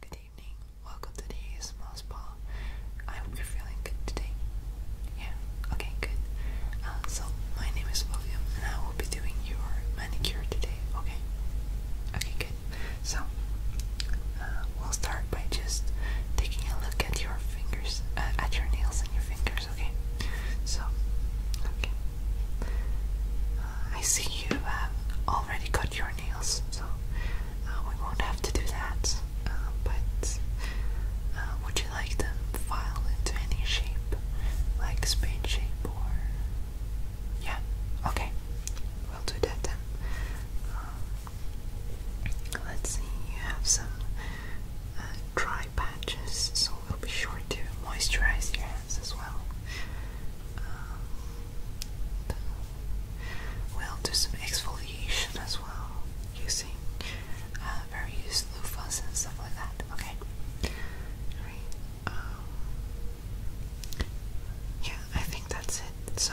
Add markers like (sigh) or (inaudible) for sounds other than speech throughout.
Good evening, welcome to the small spa. I hope you're feeling good today. Yeah, okay, good. Uh, so, my name is William and I will be doing your manicure today, okay? Okay, good. So, uh, we'll start by just taking a look at your fingers, uh, at your nails and your fingers, okay? So, okay. I see you have all already cut your nails, so uh, we won't have to do that. Uh, but uh, would you like them filed into any shape, like spade shape or? Yeah. Okay. We'll do that then. let's see. You have some dry patches, so we'll be sure to moisturize your hands as well. Um, We'll do some exfoliation as well using uh, various loofahs and stuff like that. Okay. Right. Um, yeah, I think that's it. So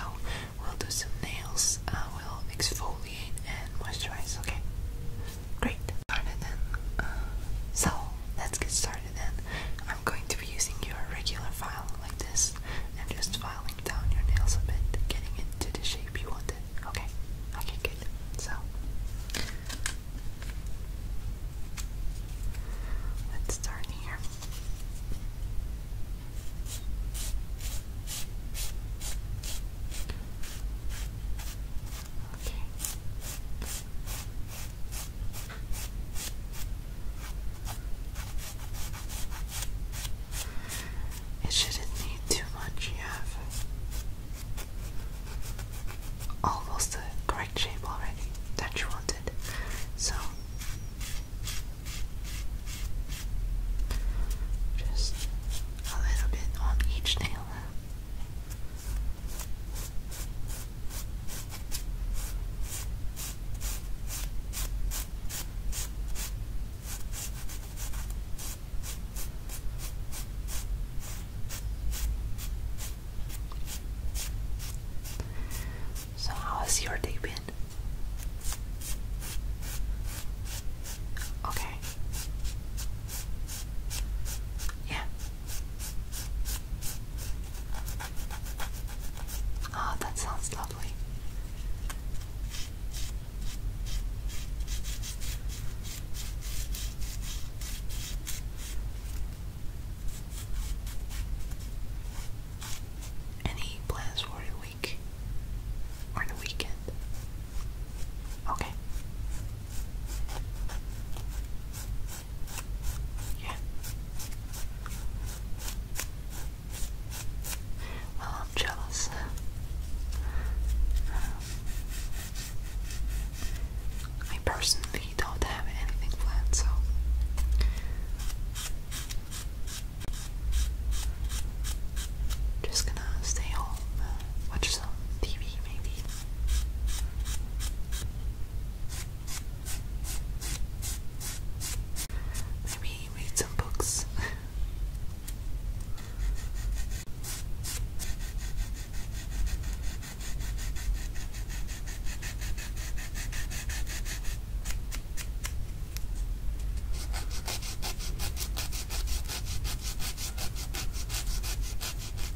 we'll do some nails. Uh, we'll exfoliate and moisturize. Okay. Great. Started then. Uh, so let's get started then. I'm going to be using your regular file like this and just filing down your nails a bit, getting it to the shape you want it. Okay? Okay, good. So, let's start here. Okay. It shouldn't need too much. yet. almost the correct shape already that you wanted. So just a little bit on each nail. So, how has your day been? Okay. Yeah, Ah, that sounds lovely. Any plans for the week or the weekend? Okay. Yeah. Well, I'm jealous. Um, I personally don't have anything planned, so. Just gonna stay home, uh, watch some TV maybe. Maybe read some books.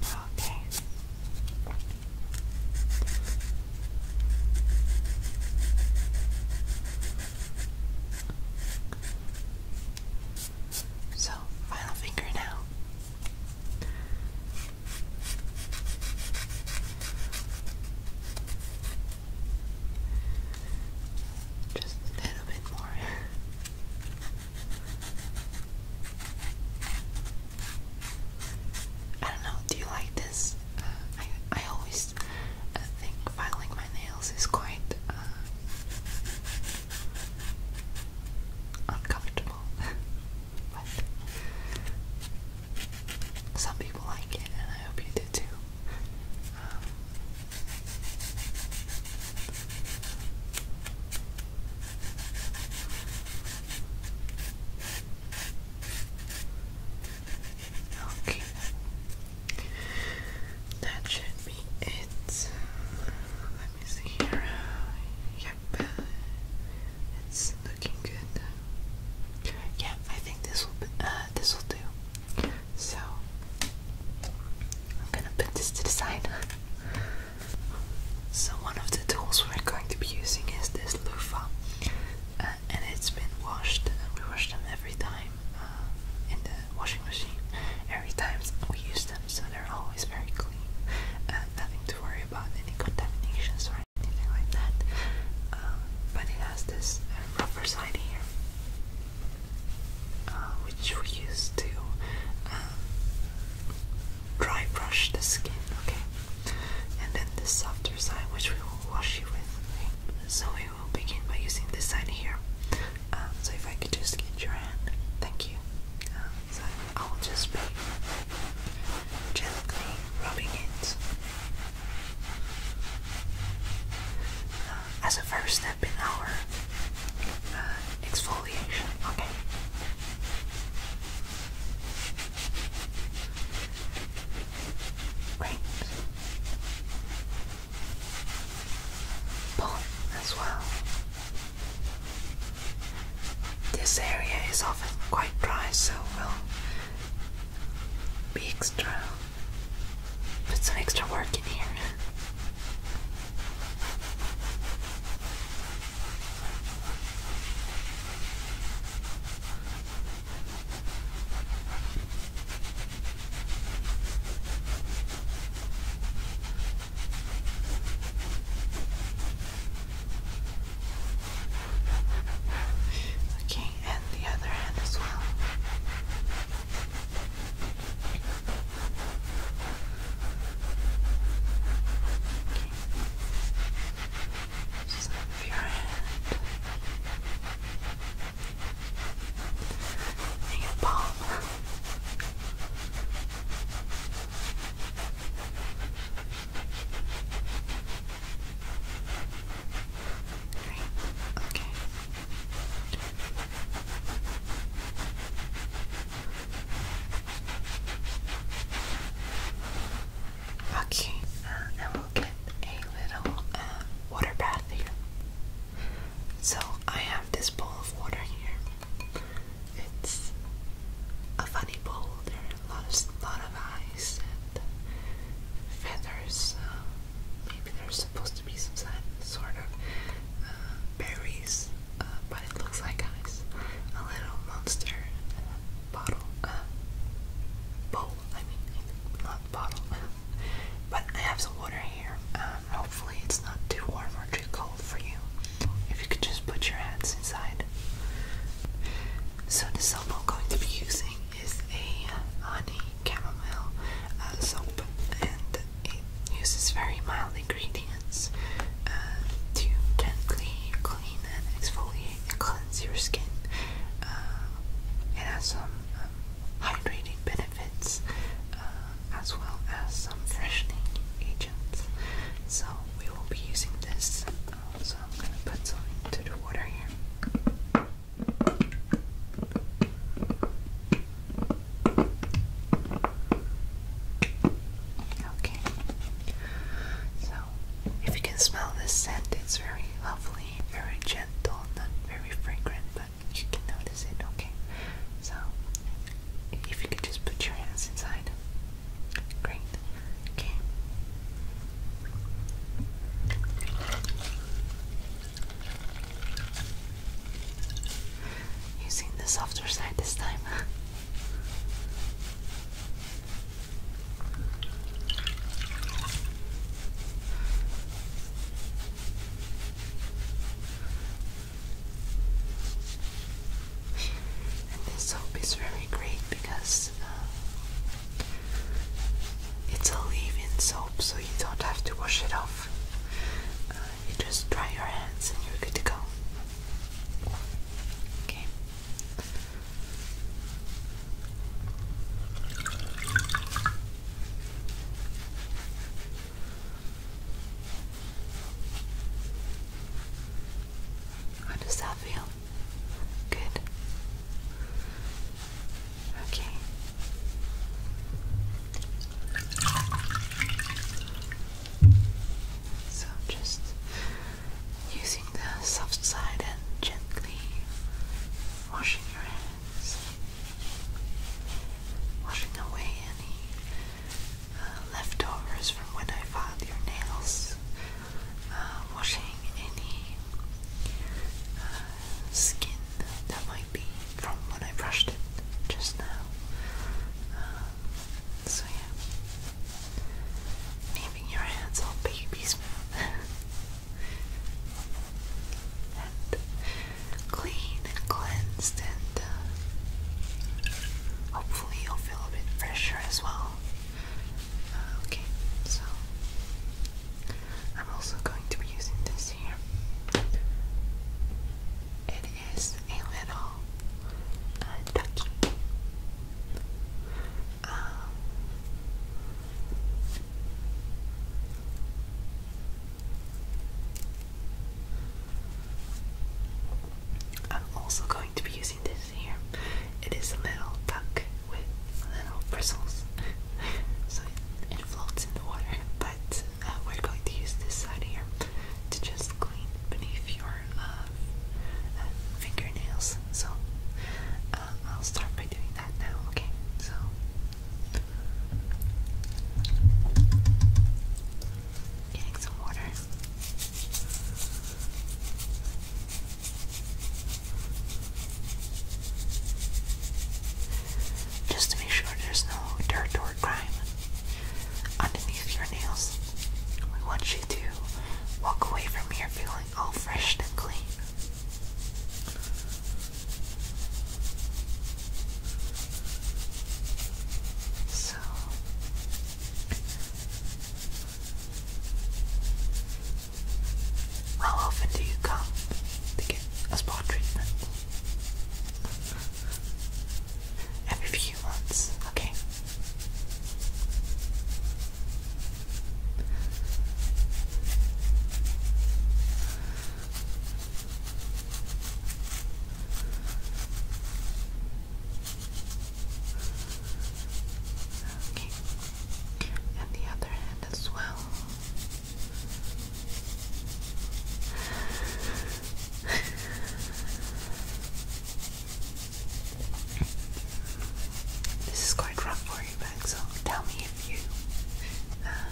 Okay. So, final finger now. Just a little bit more. I don't know, do you like this? Uh, I, I always uh, think filing my nails is quite uh, uncomfortable. (laughs) But some people like it, and I hope you did too. Okay, that should be it. Let me see here. Yeah, it's looking good. Yeah, I think this will uh, this will do. So I'm gonna put this to the side. (laughs) So one of the tools we're going to be using is this loofah, uh, and it's been washed. We wash them every time uh, in the washing machine. Every time we use them, so they're always very clean. Uh, nothing to worry about, any contaminations or anything like that. Um, but it has this uh, side here, uh, which we use to um, dry brush the skin, okay? And then the softer side, which we will wash you with. So we will begin by using this side here. Um, so if I could just get your hand, thank you. So I'll just be gently rubbing it. Uh, as a first step in our uh, exfoliation, okay? Great. Pollen as well. This area is often quite dry, so we'll be extra. Put some extra work in here. Okay, and the other hand as well. Okay. Just move your hand. And your palm. Right. Okay. Okay, uh, and we'll get a little uh, water bath here. So I have this bowl of water here. It's a funny bowl. There's a lot of, ice and feathers. Uh, maybe there's supposed to be some sort of uh, berries, uh, but it looks like ice. A little monster bottle, uh, bowl, I mean, not bottle. (laughs) but I have some water here. Um, hopefully, it's not too warm or cold for you. If you could just put your hands inside. So the soap I'm going to be using is a honey chamomile uh, soap, and it uses very mild ingredients uh, to gently clean and exfoliate and cleanse your skin. Uh, it has some um, hydrating benefits. Uh, as well as some freshening agents. So we will be using this. Uh, so I'm going to put some into the water here. Okay. So, if you can smell this scent, it's very lovely, very gentle, not very fragrant, but you can notice it, okay? So, if you could just put your hands inside. Great. Okay. Using the softer side this time. And this soap is very great because uh, it's a leave-in soap, so you don't have to wash it off. Uh, you just dry your hands and you're good to go. Okay. How does that feel? Good. Okay. So just using the soft side and gently washing your hands, washing away any uh, leftovers from when I filed your nails, um, washing any uh, skin that might be from when I brushed it just now. Um, so yeah, leaving your hands all baby (laughs) and clean and cleansed, and uh, hopefully you'll feel a bit fresher as well. Uh, okay, so I'm also going to be using this here. It is a little uh, I'm also going to be using this here. It is a little duck with little bristles, (laughs) so it, floats in the water. But uh, we're going to use this side here to just clean beneath your uh, uh, fingernails. So uh, I'll start by doing that now. Okay, so. Getting some water. Just to make sure there's no dirt or grime underneath your nails. We want you to walk away from here feeling all fresh and clean. So how often do you come to get a spa treatment? Every few months, okay. Okay. And the other hand as well. This is quite rough for you, back, so tell me if you uh,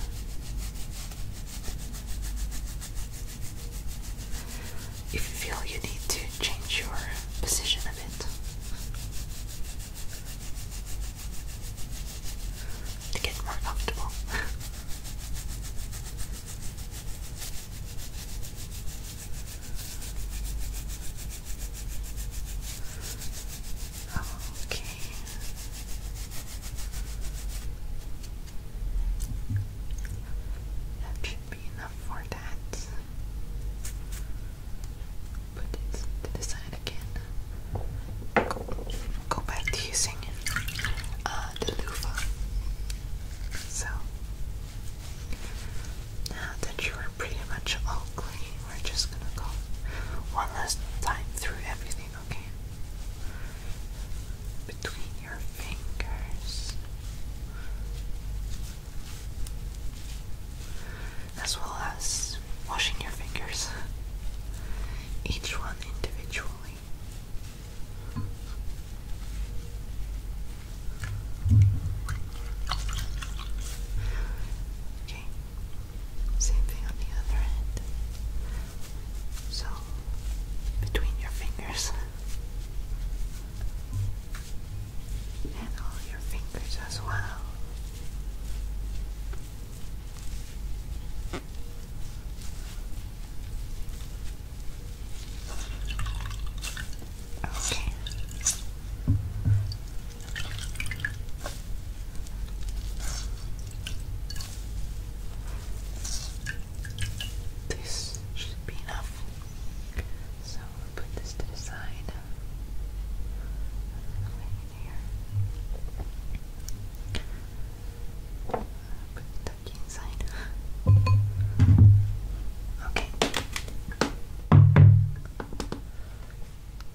you feel you need to change your position a bit to get more comfortable. (laughs) Okay. That should be enough for that. Put it to the side again. Go, back to using uh, the loofah. So, now that you are pretty much all clean, we're just gonna go one last time through everything, okay? Between your fingers, as well as washing your fingers, each one individually. Okay, same thing on the other end. So, between your fingers. And all your fingers as well. Okay. This should be enough. So we'll put this to the side. here. Put the inside. (gasps) Okay.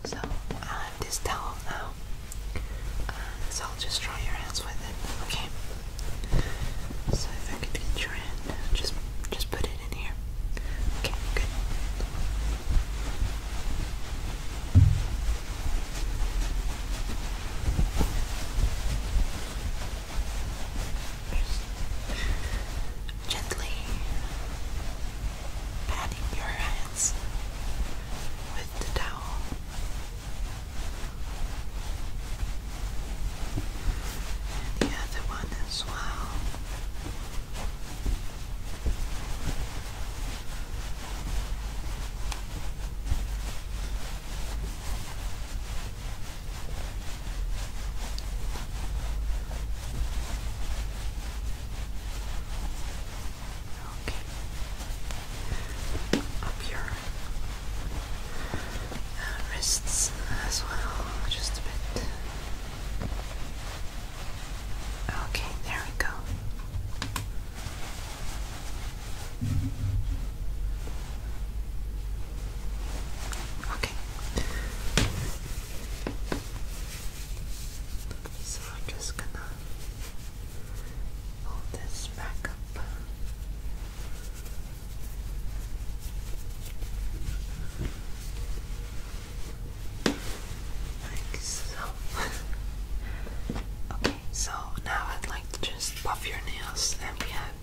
So I have this towel now. Uh, so I'll just try your hands with it, okay? So if I could get your hand, just just put it in here. Okay, good. gently patting your hands with the towel and the other one as well. Up your wrists as well, just a bit. Okay, there we go. Okay. So I'm just gonna Pull this back up. Like so. (laughs) okay, so now I'd like to just buff your nails, and we have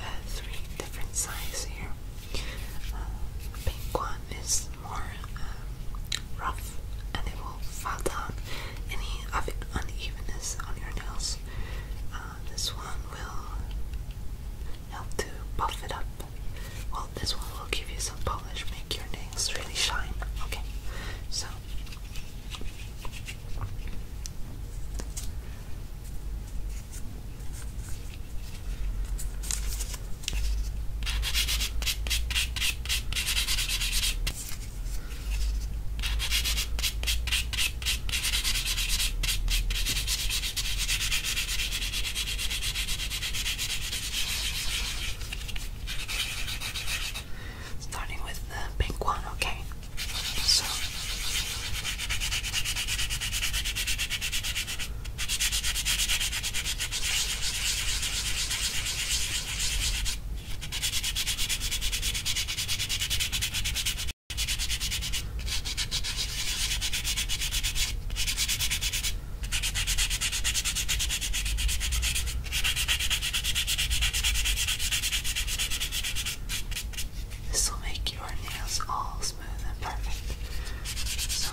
uh, three different sizes here. Uh, pink one is more um, rough and it will fall any of unevenness on your nails. Uh, this one will help to buff it up. Well, this one will give you some polish, make your nails really shine. Okay, so. Starting with the pink one, okay? So this will make your nails all smooth and perfect. So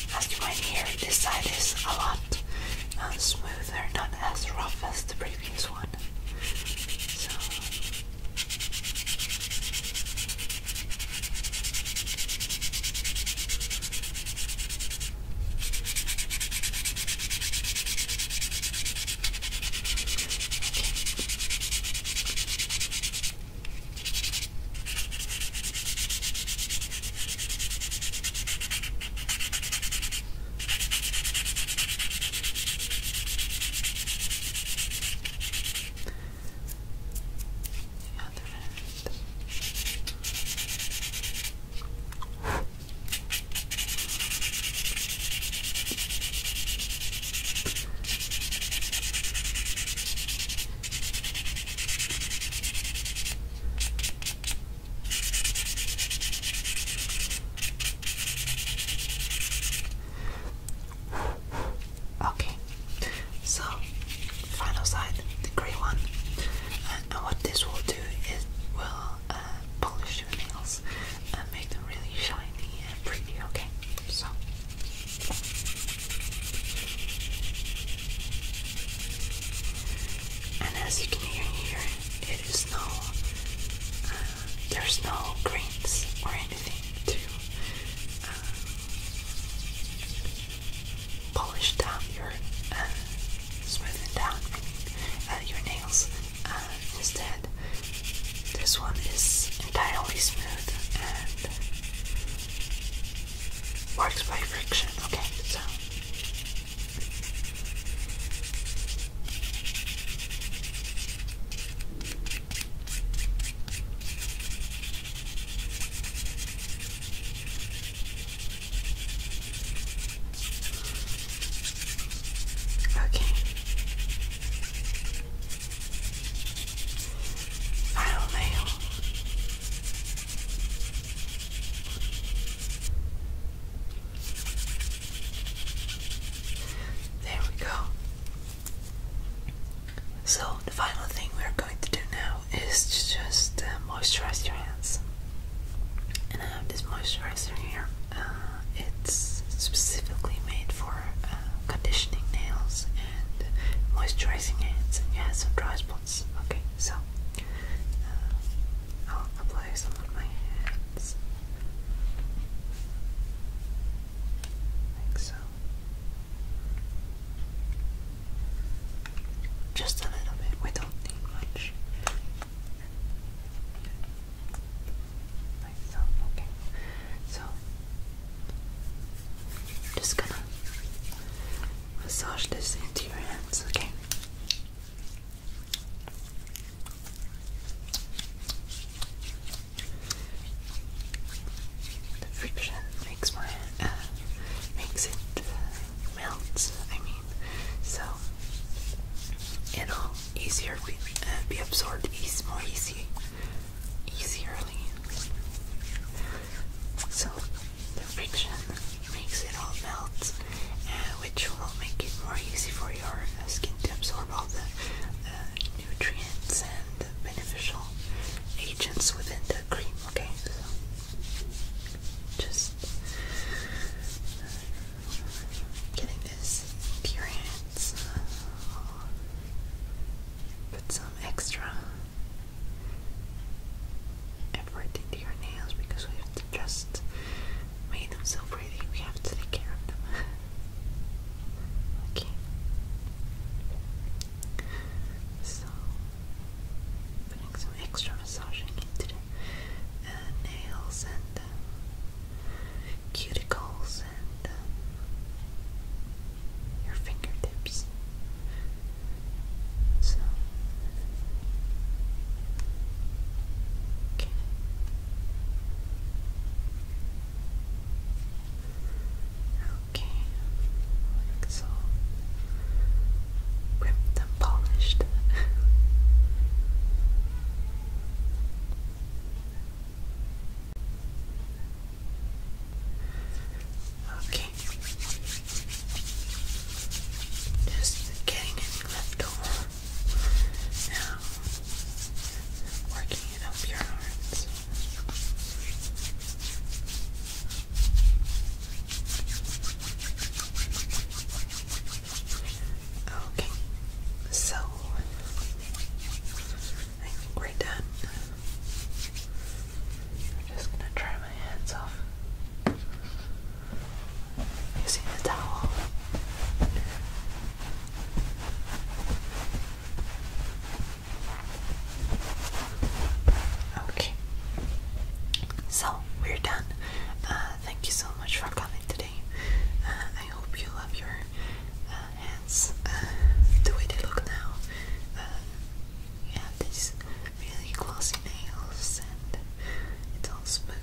As you might hear, this side is a lot uh, smoother, not as rough as the previous one. The other end. Okay, so final side, the grey one, uh, and, what this will do is will uh, polish your nails and make them really shiny and pretty. Okay, so and as you can hear here, it is no, uh, there's no greens or anything to uh, polish down your, uh, down uh, your nails. Uh, instead, this one is entirely smooth and Works by friction, okay, so. Okay. I don't know. There we go. So, the final thing we're going to do now is just uh, moisturize your hands. And I have this moisturizer here. Uh, it's specifically made for uh, conditioning nails moisturizing hands and you some dry spots. Okay, so uh, I'll apply some on my hands. so. Just a little bit, we don't need much. Like so, okay. So I'm just gonna massage this into your hands, okay? The friction makes my uh, makes it uh, melt. I mean, so it'll easier be, uh, be absorbed, ease more easy easily. So the friction makes it all melt, uh, which will make it more easy for your uh, skin to absorb all the uh, nutrients and beneficial agents within the cream. Okay, so just uh, getting this into your hands. Put some extra effort into your nails because we have to just make them so pretty. We have to take care of them. (laughs) okay. So, putting some extra massaging into uh, nails and uh, cuticles and uh, your fingertips. So, okay. Okay, like so. Ripped and polished. Okay. Just getting any left Now, working it up your arms. Okay. So we're done. I'm just gonna dry my hands off using the towel. Okay, so we're done. Uh, thank you so much for coming today. Uh, I hope you love your uh, hands, uh, the way they look now. Uh, you have these really glossy nails, and it's all smooth,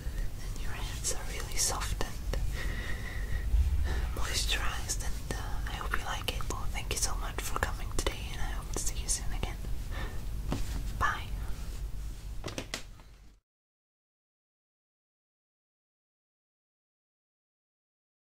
and your hands are really soft and uh, moisturized. And I hope you like it. thank you so much for coming today, and I hope to see you soon again. Bye.